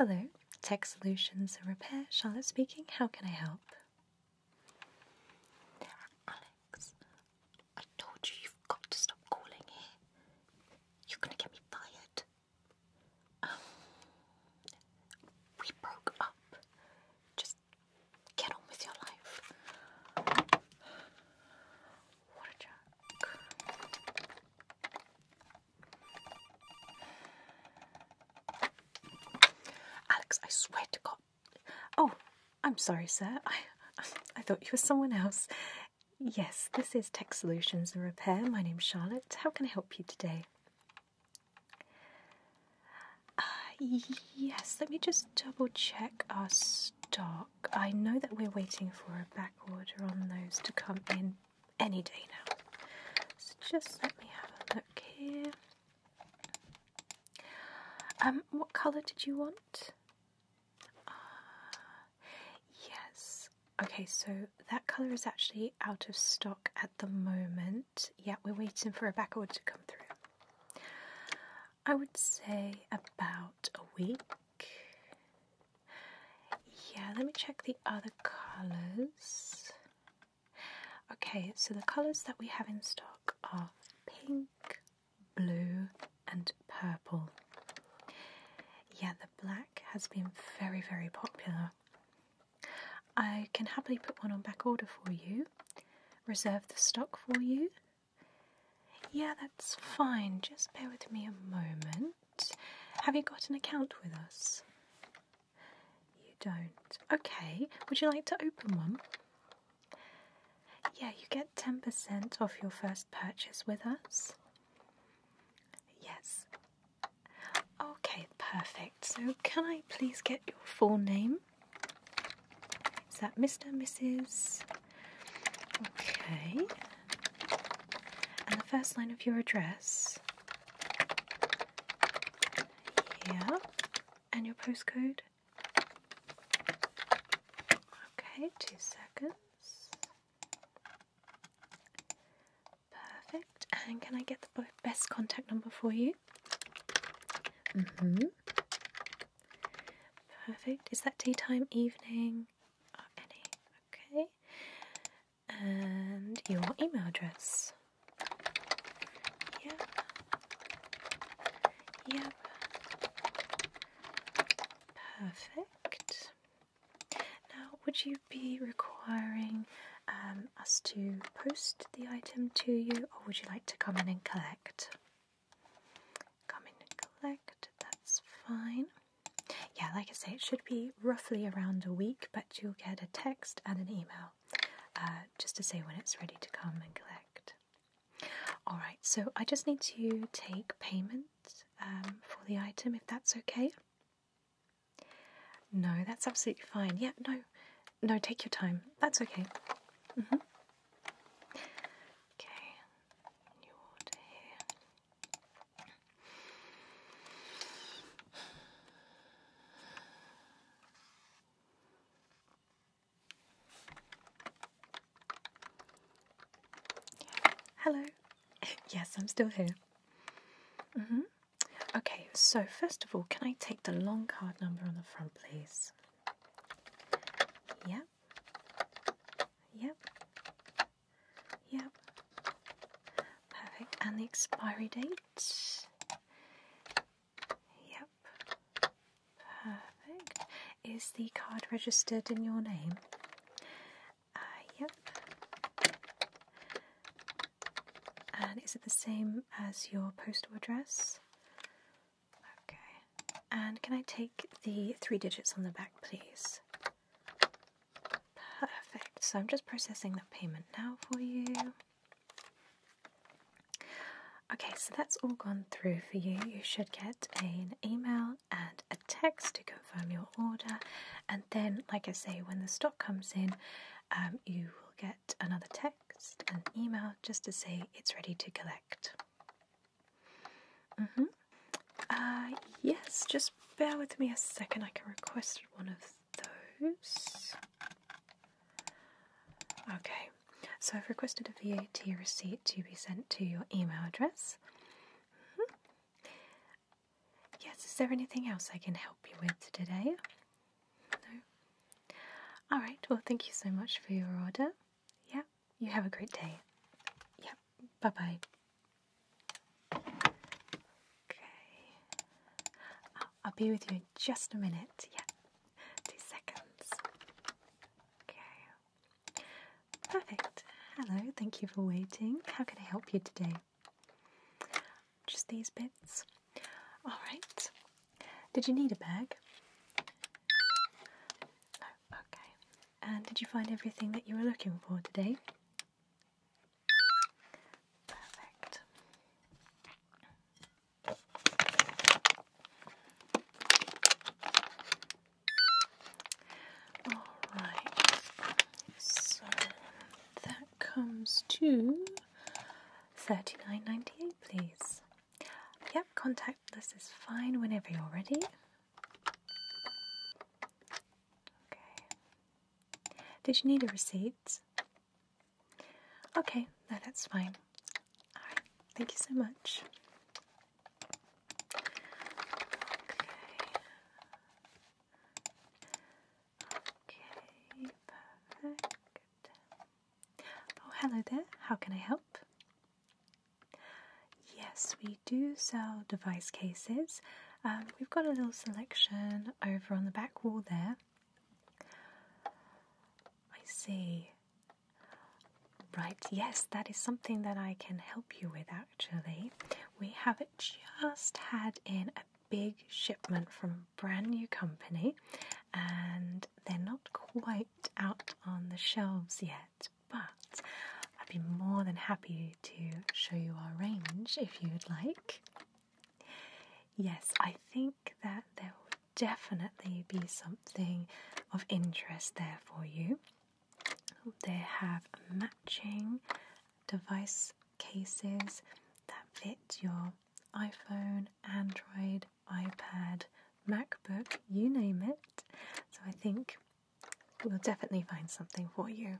Hello, Tech Solutions and Repair, Charlotte speaking. How can I help? Alex, I told you you've got to stop calling here. You're gonna get me fired. Um, we broke up. Just get on with your life. What a jerk. Alex, I swear to God. Oh, I'm sorry, sir. I, I thought you were someone else. Yes, this is Tech Solutions and Repair. My name's Charlotte. How can I help you today? Uh, yes, let me just double check our stock. I know that we're waiting for a back order on those to come in any day now. So just let me have a look here. Um, what colour did you want? Uh, Yes. Okay, so that colour is actually out of stock at the moment. Yeah, we're waiting for a back order to come through. I would say about a week. Yeah, let me check the other colours. Okay, so the colours that we have in stock are pink, blue, and purple. Yeah, the black has been very, very popular. I can happily put one on back order for you, reserve the stock for you. Yeah, that's fine. Just bear with me a moment. Have you got an account with us? You don't. Okay, would you like to open one? Yeah, you get 10% off your first purchase with us. Yes. Okay, perfect. So, can I please get your full name? Is that Mr. Mrs.? Okay. And the first line of your address? Yeah. And your postcode? Okay, two seconds. Perfect. And can I get the best contact number for you? hmm Perfect. Is that daytime, evening? Okay. And your email address. Yep. Yep. Perfect. Now, would you be requiring um, us to post the item to you, or would you like to come in and collect? Come in and collect, that's fine. Yeah, like I say, it should be roughly around a week, but you'll get a text and an email uh, just to say when it's ready to come and collect. Alright, so I just need to take payment um, for the item if that's okay. No, that's absolutely fine. Yeah, no, no, take your time. That's okay. Mm-hmm. Okay, Hello yes, I'm still here. Mm-hmm. Okay, so first of all, can I take the long card number on the front, please? Yep. Yep. Yep. Perfect. And the expiry date? Yep. Perfect. Is the card registered in your name? Uh, yep. And is it the same as your postal address? Okay. And can I take the three digits on the back, please? Perfect. So I'm just processing the payment now for you. Okay, so that's all gone through for you. You should get an email and a text to confirm your order. And then, like I say, when the stock comes in, um, you will get another text, an email, just to say it's ready to collect. Mm -hmm. uh, yes, just bear with me a second. I can request one of those. Okay, so I've requested a VAT receipt to be sent to your email address. Mm-hmm. Yes, is there anything else I can help you with today? No? Alright, well, thank you so much for your order. Yeah, you have a great day. Yeah, bye bye. Okay. I'll, I'll be with you in just a minute. Yeah, two seconds. Okay. Perfect. Hello, thank you for waiting. How can I help you today? Just these bits. All right. Did you need a bag? No, okay. And did you find everything that you were looking for today? Perfect. Alright, so that comes to $39.98, please. Yep, contactless is fine whenever you're ready. Okay. Did you need a receipt? Okay, no, that's fine. Alright, thank you so much. Okay, perfect. Oh, hello there. How can I help? Yes, we do sell device cases. Um, we've got a little selection over on the back wall there. I see. Right, yes, that is something that I can help you with actually. We have just had in a big shipment from a brand new company, and they're not quite out on the shelves yet, but I'd be more than happy to show you our range if you'd like. Yes, I think that there will definitely be something of interest there for you. They have matching device cases that fit your iPhone, Android, iPad, MacBook, you name it. So I think we'll definitely find something for you.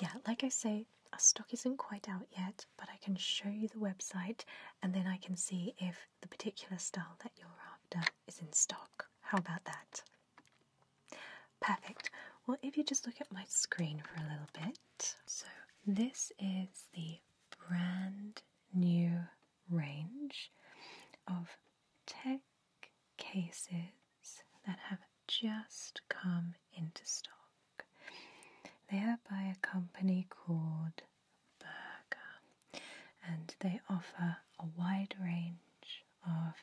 Yeah, like I say, our stock isn't quite out yet, but I can show you the website and then I can see if the particular style that you're after is in stock. How about that? Perfect. Well, if you just look at my screen for a little bit. So, this is the brand new range of tech cases that have just come into stock. They are by a company called Burger and they offer a wide range of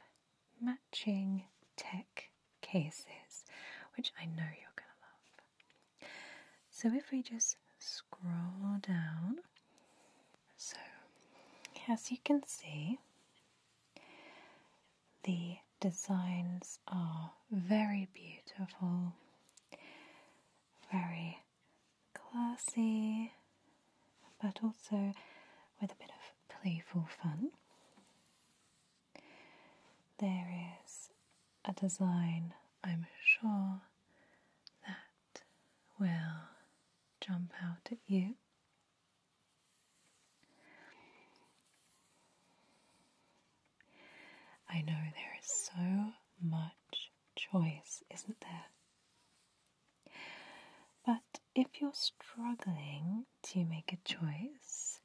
matching tech cases, which I know you're going to love. So, if we just scroll down, so as you can see, the designs are very beautiful, very classy, but also with a bit of playful fun. There is a design, I'm sure, that will jump out at you. I know there is so much choice, isn't there? But if you're struggling to make a choice,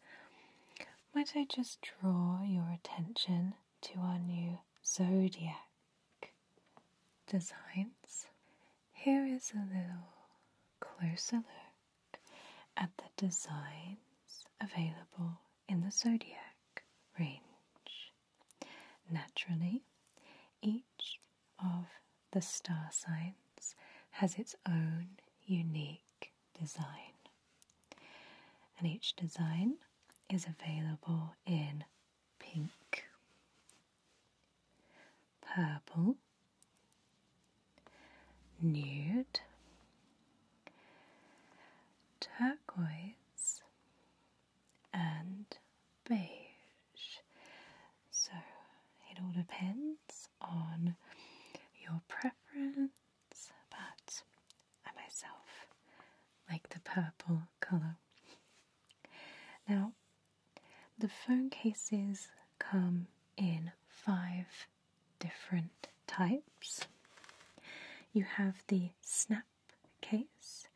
might I just draw your attention to our new zodiac designs? Here is a little closer look at the designs available in the zodiac range. Naturally, each of the star signs has its own unique design. And each design is available in pink, purple, nude, turquoise, and beige. So it all depends on your preference, but I myself like the purple colour. Now, the phone cases come in five different types. You have the snap case,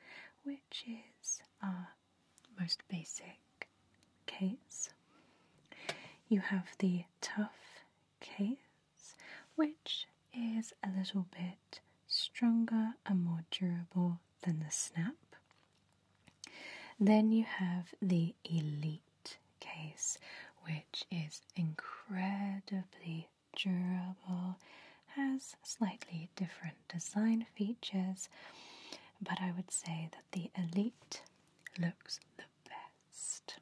which is a. Uh, most basic case. You have the tough case, which is a little bit stronger and more durable than the snap. Then you have the elite case, which is incredibly durable, has slightly different design features, but I would say that the Elite looks the best.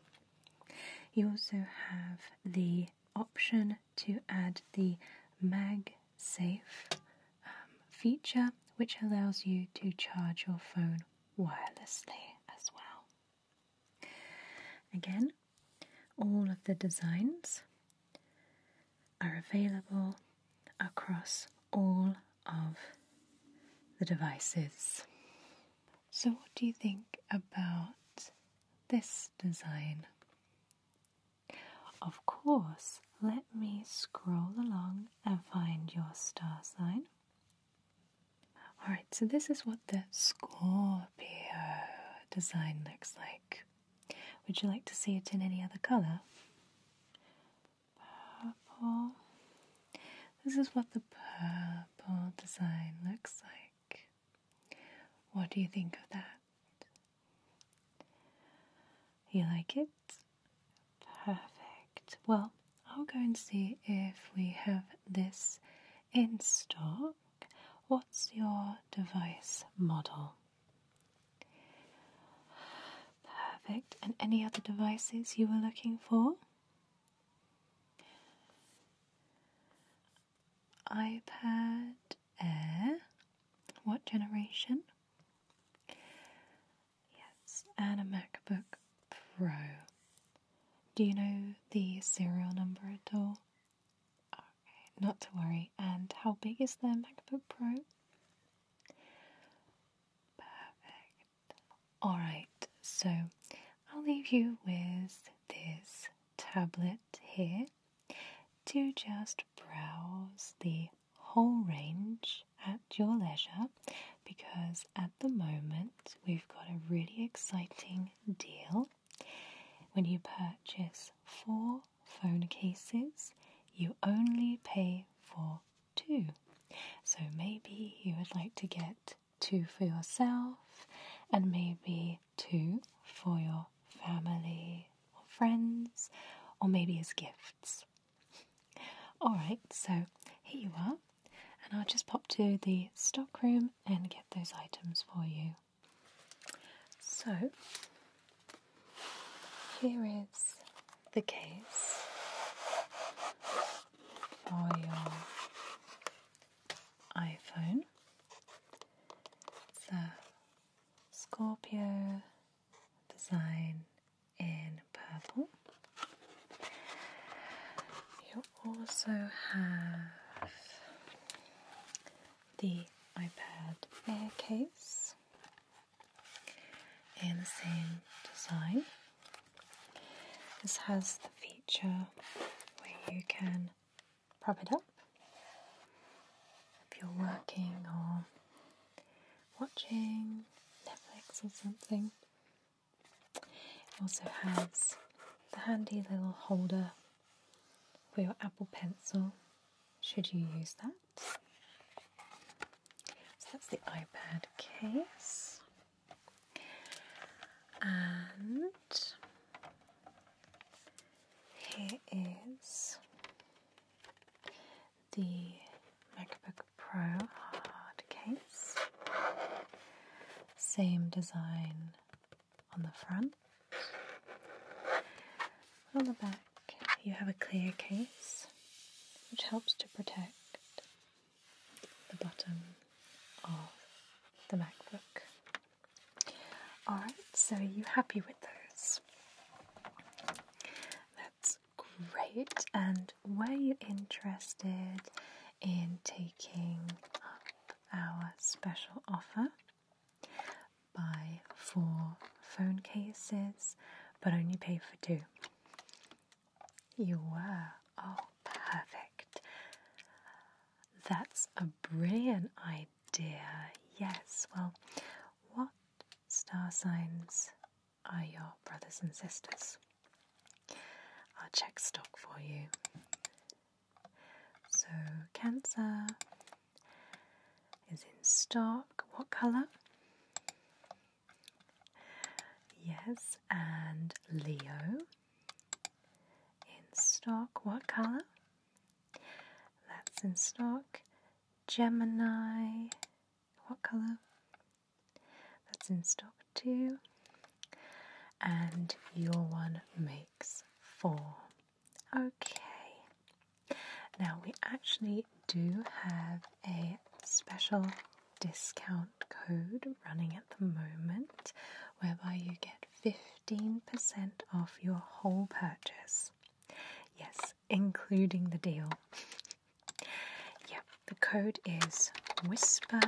You also have the option to add the MagSafe um, feature, which allows you to charge your phone wirelessly as well. Again, all of the designs are available across all of the devices. So, what do you think about this design? Of course, let me scroll along and find your star sign. Alright, so this is what the Scorpio design looks like. Would you like to see it in any other colour? purple. This is what the purple design looks like. What do you think of that? You like it? Perfect. Well, I'll go and see if we have this in stock. What's your device model? Perfect. And any other devices you were looking for? iPad Air. What generation? Yes, and a MacBook Pro. Do you know the serial number at all? Okay, not to worry. And how big is the MacBook Pro? Perfect. Alright, so I'll leave you with this tablet here to just browse the whole range at your leisure because at the moment we've got a really exciting deal. When you purchase four phone cases, you only pay for two. So maybe you would like to get two for yourself and maybe two for your family or friends or maybe as gifts. Alright, so here you are, and I'll just pop to the stockroom and get those items for you. So here is the case for your iPhone. It's a Scorpio design in purple. You also have the iPad Air case in the same design. This has the feature where you can prop it up if you're working or watching Netflix or something. It also has the handy little holder for your Apple Pencil should you use that. So that's the iPad case. And here is the MacBook Pro hard case. Same design on the front. On the back, you have a clear case which helps to protect the bottom of the MacBook. Alright, so are you happy with those? That's great. And were you interested in taking up our special offer? Buy four phone cases, but only pay for two you. were. Oh, perfect. That's a brilliant idea. Yes, well, what star signs are your brothers and sisters? I'll check stock for you. So, Cancer is in stock. What colour? Yes, and Leo in stock. What colour? That's in stock. Gemini. What colour? That's in stock too. And your one makes four. Okay, now, we actually do have a special discount code running at the moment whereby you get 15% off your whole purchase. Yes, including the deal. yep, the code is Whisper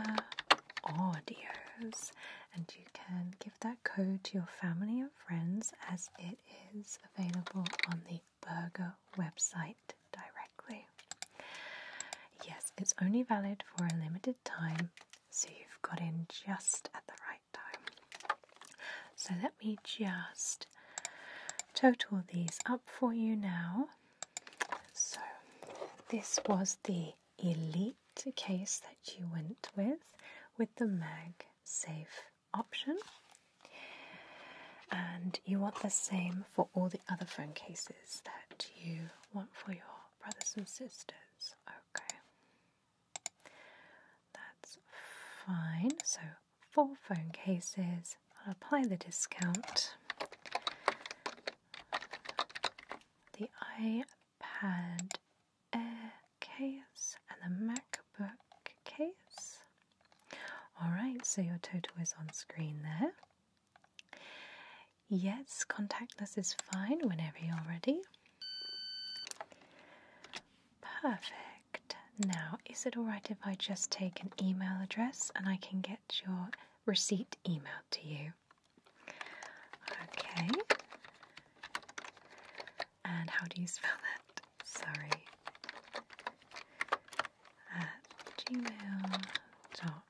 Audios, and you can give that code to your family and friends as it is available on the burger website directly. Yes, it's only valid for a limited time, so you've got in just at the right time. So let me just total these up for you now. So this was the Elite case that you went with, with the mag safe option. And you want the same for all the other phone cases that you want for your brothers and sisters. Okay. That's fine. So, four phone cases. I'll apply the discount. The iPad Air case and the MacBook case. Alright, so your total is on screen there. Yes, contactless is fine whenever you're ready. Perfect. Now, is it alright if I just take an email address and I can get your receipt emailed to you? Okay. And how do you spell that? at Surrey at gmail.com.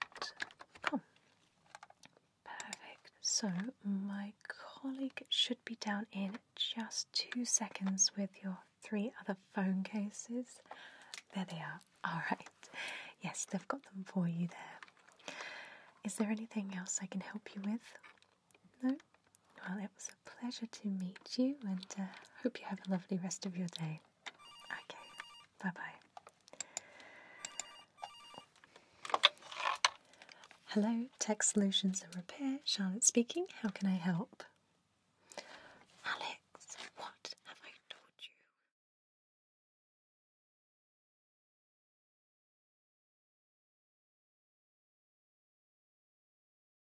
Perfect. So, my colleague should be down in just two seconds with your three other phone cases. There they are. All right. Yes, they've got them for you there. Is there anything else I can help you with? No? Well, it was a pleasure to meet you and uh, hope you have a lovely rest of your day. Okay, bye bye. Hello, Tech Solutions and Repair, Charlotte speaking. How can I help? Alex, what have I told you?